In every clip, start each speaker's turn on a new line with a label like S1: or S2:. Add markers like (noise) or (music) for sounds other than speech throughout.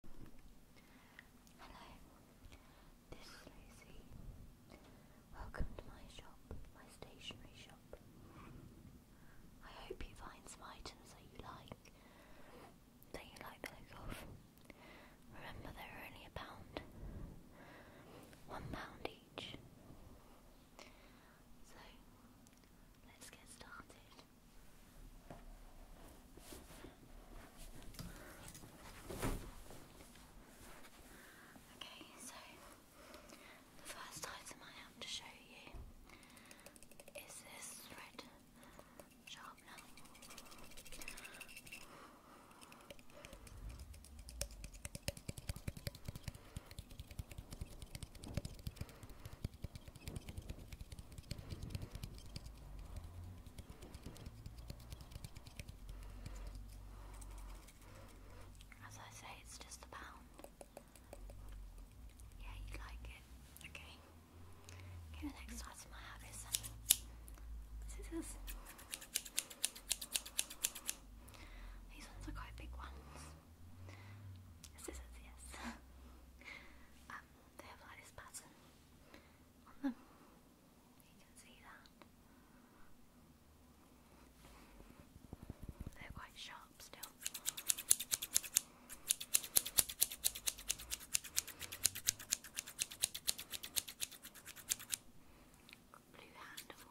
S1: Hello, this is Lucy. Welcome to my shop, my stationery shop. I hope you find some items that you like, that you like the look of. Remember they are only a pound. One pound each. So, let's get started. Okay, so the first item I have to show you is this red sharpener. As I say, it's just a Yeah, you like it. Okay. the next item I have is scissors. These ones are quite big ones. Scissors, yes. (laughs) Um, they have like this pattern on them. You can see that. They're quite sharp still. Blue handle.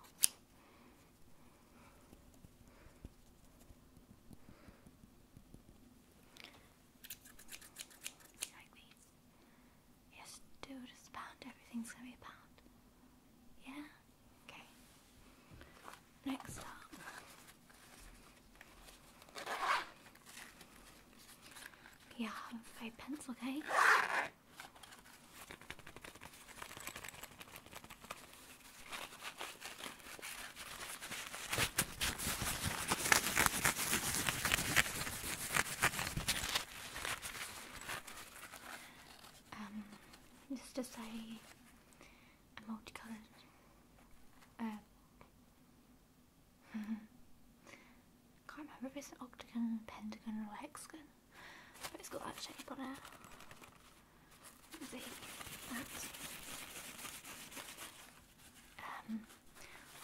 S1: Yes, dude, it's bound. Everything's gonna be bound. Yeah? Okay. Next up. Yeah, five pence, okay? Um, this is just a, a multicolored, uh, (laughs) can't remember if it's an octagon, pentagon or hexagon, but it's got that shape on it. Um,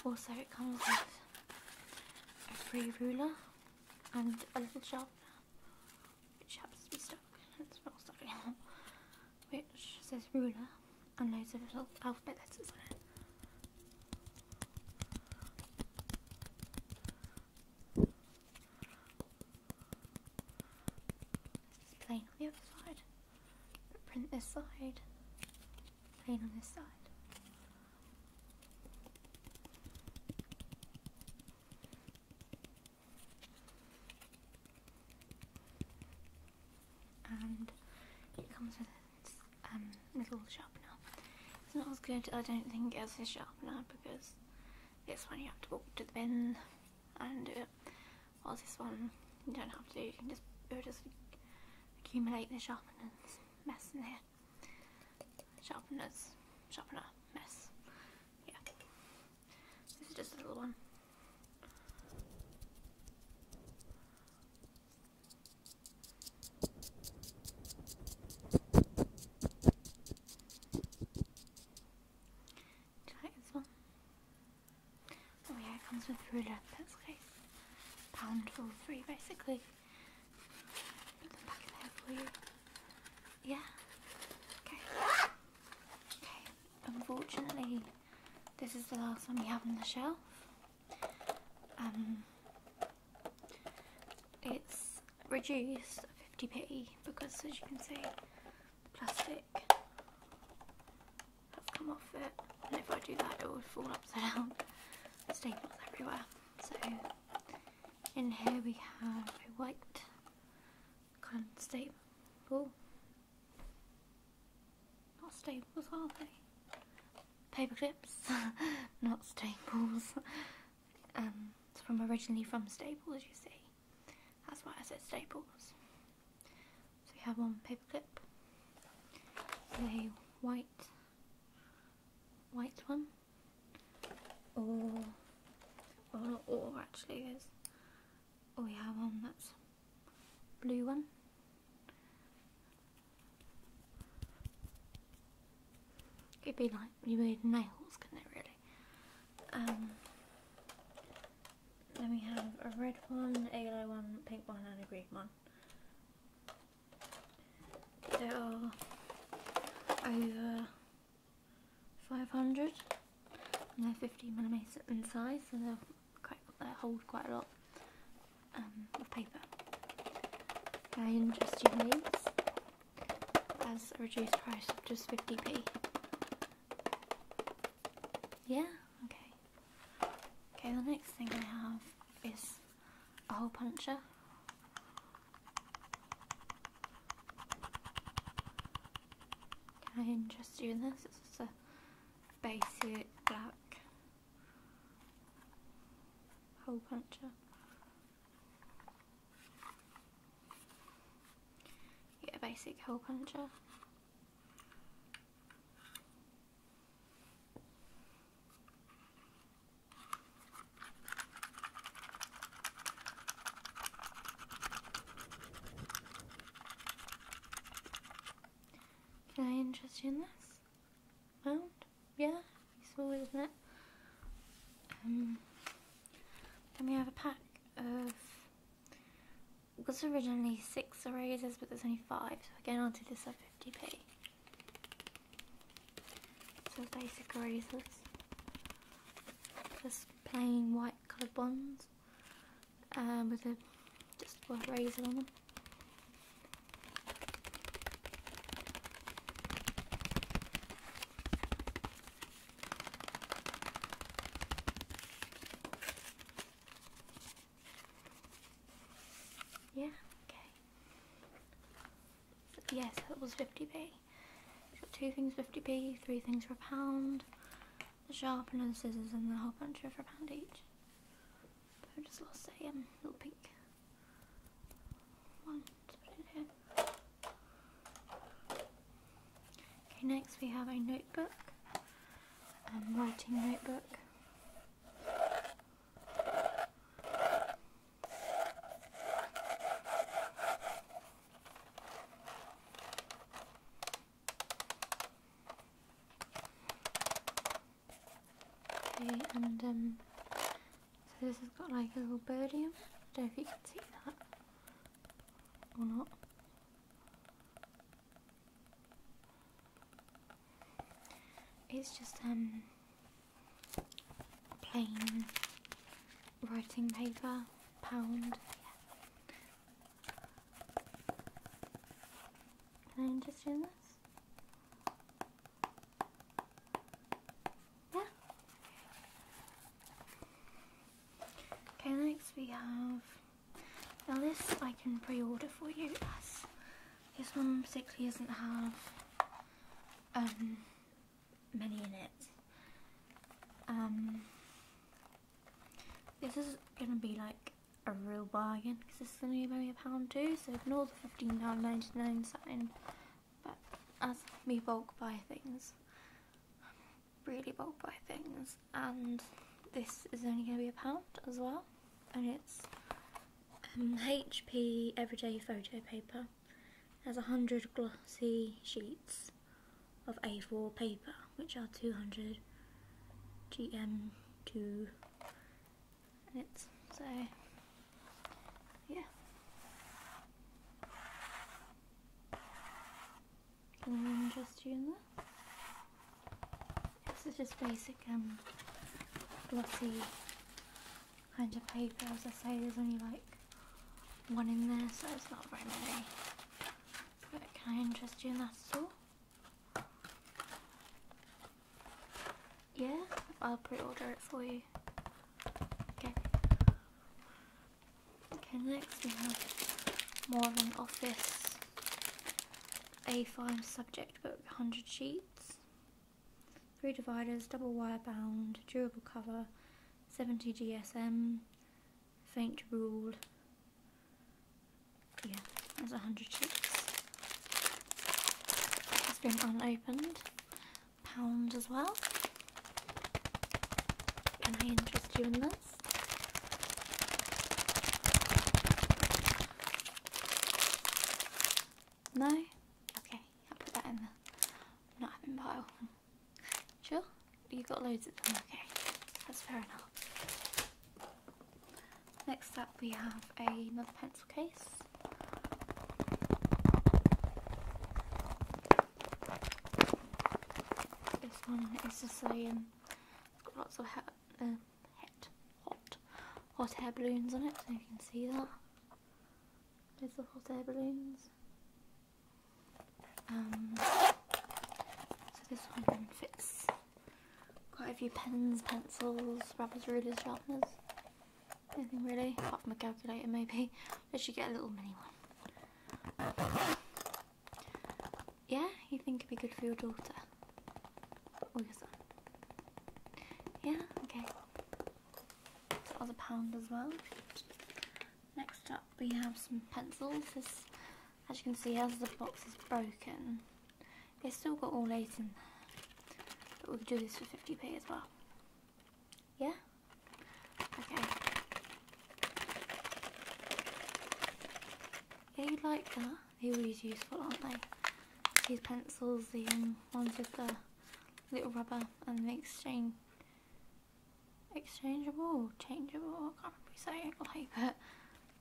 S1: also it comes with a free ruler and a little sharpener which has to be stuck it's not stuck anymore which says ruler and loads of little alphabet letters on it just plane on the other side. Print this side. Plain on this side. And it comes with a um, little sharpener. It's not as good, I don't think, as a sharpener because this one you have to walk to the bin and do it. While this one you don't have to. You can just just accumulate the sharpeners mess in here. Sharpeners, sharpener mess. Yeah. This is just a little one. Try one. Oh yeah, it comes with ruler. That's case, Pound for free, basically. Put them back in there for you. Yeah. Okay. Okay. Unfortunately, this is the last one we have on the shelf. Um, it's reduced 50p because as you can see plastic has come off it and if I do that it will fall upside down. (laughs) Staples everywhere. So in here we have a white kind of staple. Not staples are they? Paper clips, (laughs) not staples. (laughs) Um, it's from originally from Staples, you see. That's why I said Staples. So we have one paperclip, a white, white one, or or actually is, or have one that's blue one, It'd be like you remade nails, couldn't it really? Um, then we have a red one, a yellow one, pink one and a green one. There are over 500 and they're 50 millimeters in size so they quite, hold quite a lot um, of paper nine Justin Leaves as a reduced price of just 50p. Yeah, okay. Okay, the next thing I have is a hole puncher. Can I interest you in this? It's just a basic black hole puncher. Get a basic hole puncher. Can I interest you in this? Well, yeah, it's small, isn't it? Um, then we have a pack of it was originally six erasers, but there's only five, so again I'll do this at 50p. So basic erasers, just plain white coloured ones um, with a just raise it on them. Yeah, okay. yes, it was 50p. Got two things 50p, three things for a pound, the sharpener, the scissors, and the whole bunch of for a pound each. But just lost that um, little pink Okay, next we have a notebook, a um, writing notebook. Okay, and um, so this has got like a little birdie I don't know if you can see that or not. It's just um, plain writing paper, pound, can I just do this? Yeah. Okay, next we have. Now this I can pre-order for you as this one particularly doesn't have um, many in it. Um, this is gonna be like a real bargain because it's going to be maybe a pound too, so ignore the £15.99 sign. But as me bulk buy things, really bulk buy things, and this is only going to be a pound as well, and it's HP Everyday Photo Paper. It has 100 glossy sheets of A4 paper, which are 200 GM2 minutes. So, yeah. Anyone interest you in that? This is just basic um, glossy kind of paper. As I say, there's only like one in there, so it's not very many. But can I interest you in that at all? Yeah, I'll pre-order it for you. Okay. Okay, next we have more of an office A5 subject book, 100 sheets, three dividers, double wire bound, durable cover, 70 GSM, faint rule. Yeah, there's a hundred chips. It's been unopened. Pound as well. Can I interest you in this? No? Okay, I'll put that in the not having pile. Sure? You've got loads of them. Okay, that's fair enough. Next up, we have another pencil case. This one is Sicilian. It's um, got lots of ha um, hot, hot air balloons on it, so you can see that. There's the hot air balloons. Um, so this one fits quite a few pens, pencils, rubbers, rulers, sharpeners. Anything really, apart from a calculator maybe. I should get a little mini one. Yeah, you think it'd be good for your daughter? Or your son? Yeah, okay. So that a pound as well. Next up we have some pencils. as you can see, as the box is broken, it's still got all eight in there. But we could do this for 50p as well. Yeah? Okay. Yeah, like that. They're always useful, aren't they? These pencils, the ones with the little rubber and the string exchangeable, changeable, I can't remember saying, (laughs) like a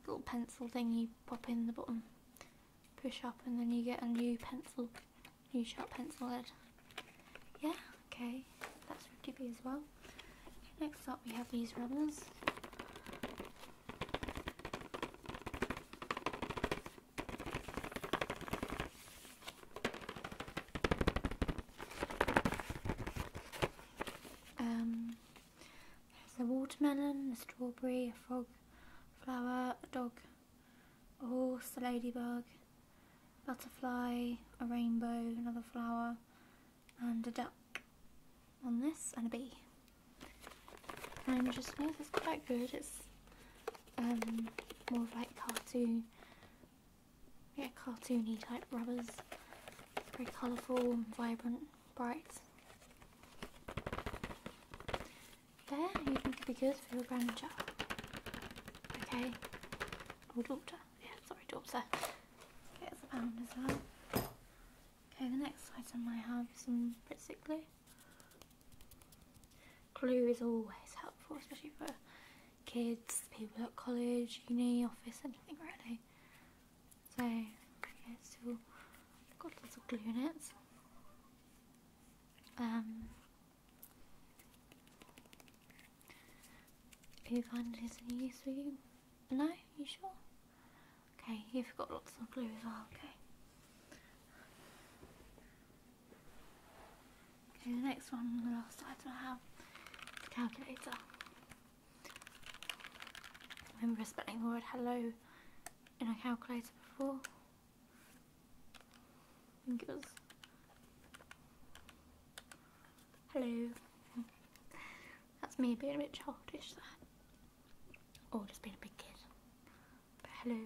S1: little pencil thing you pop in the bottom, push up and then you get a new pencil, new sharp pencil head. Yeah, okay, that's 50p as well. Next up we have these rubbers. Um, there's a watermelon, a strawberry, a frog, a flower, a dog, a horse, a ladybug, butterfly, a rainbow, another flower, and a duck on this, and a bee. And just know this quite good. It's um, more of like cartoon yeah, cartoony type rubbers. Very colourful vibrant, bright. There, you think it'd be good for your grandchild. Okay. Or oh, daughter. Yeah, sorry, daughter. Here's a as well. Okay, the next item I have is some Pritsic glue. Glue is always helpful, especially for kids, people at college, uni, office, anything really. So, got lots of glue in it. Um, Have you find this any use for you? No? You sure? Okay, you've got lots of glue as well, okay. Okay, the next one the last item I have is the calculator. remember spelling the word hello in a calculator before. I think it was hello. That's me being a bit childish Oh, just being a big kid. hello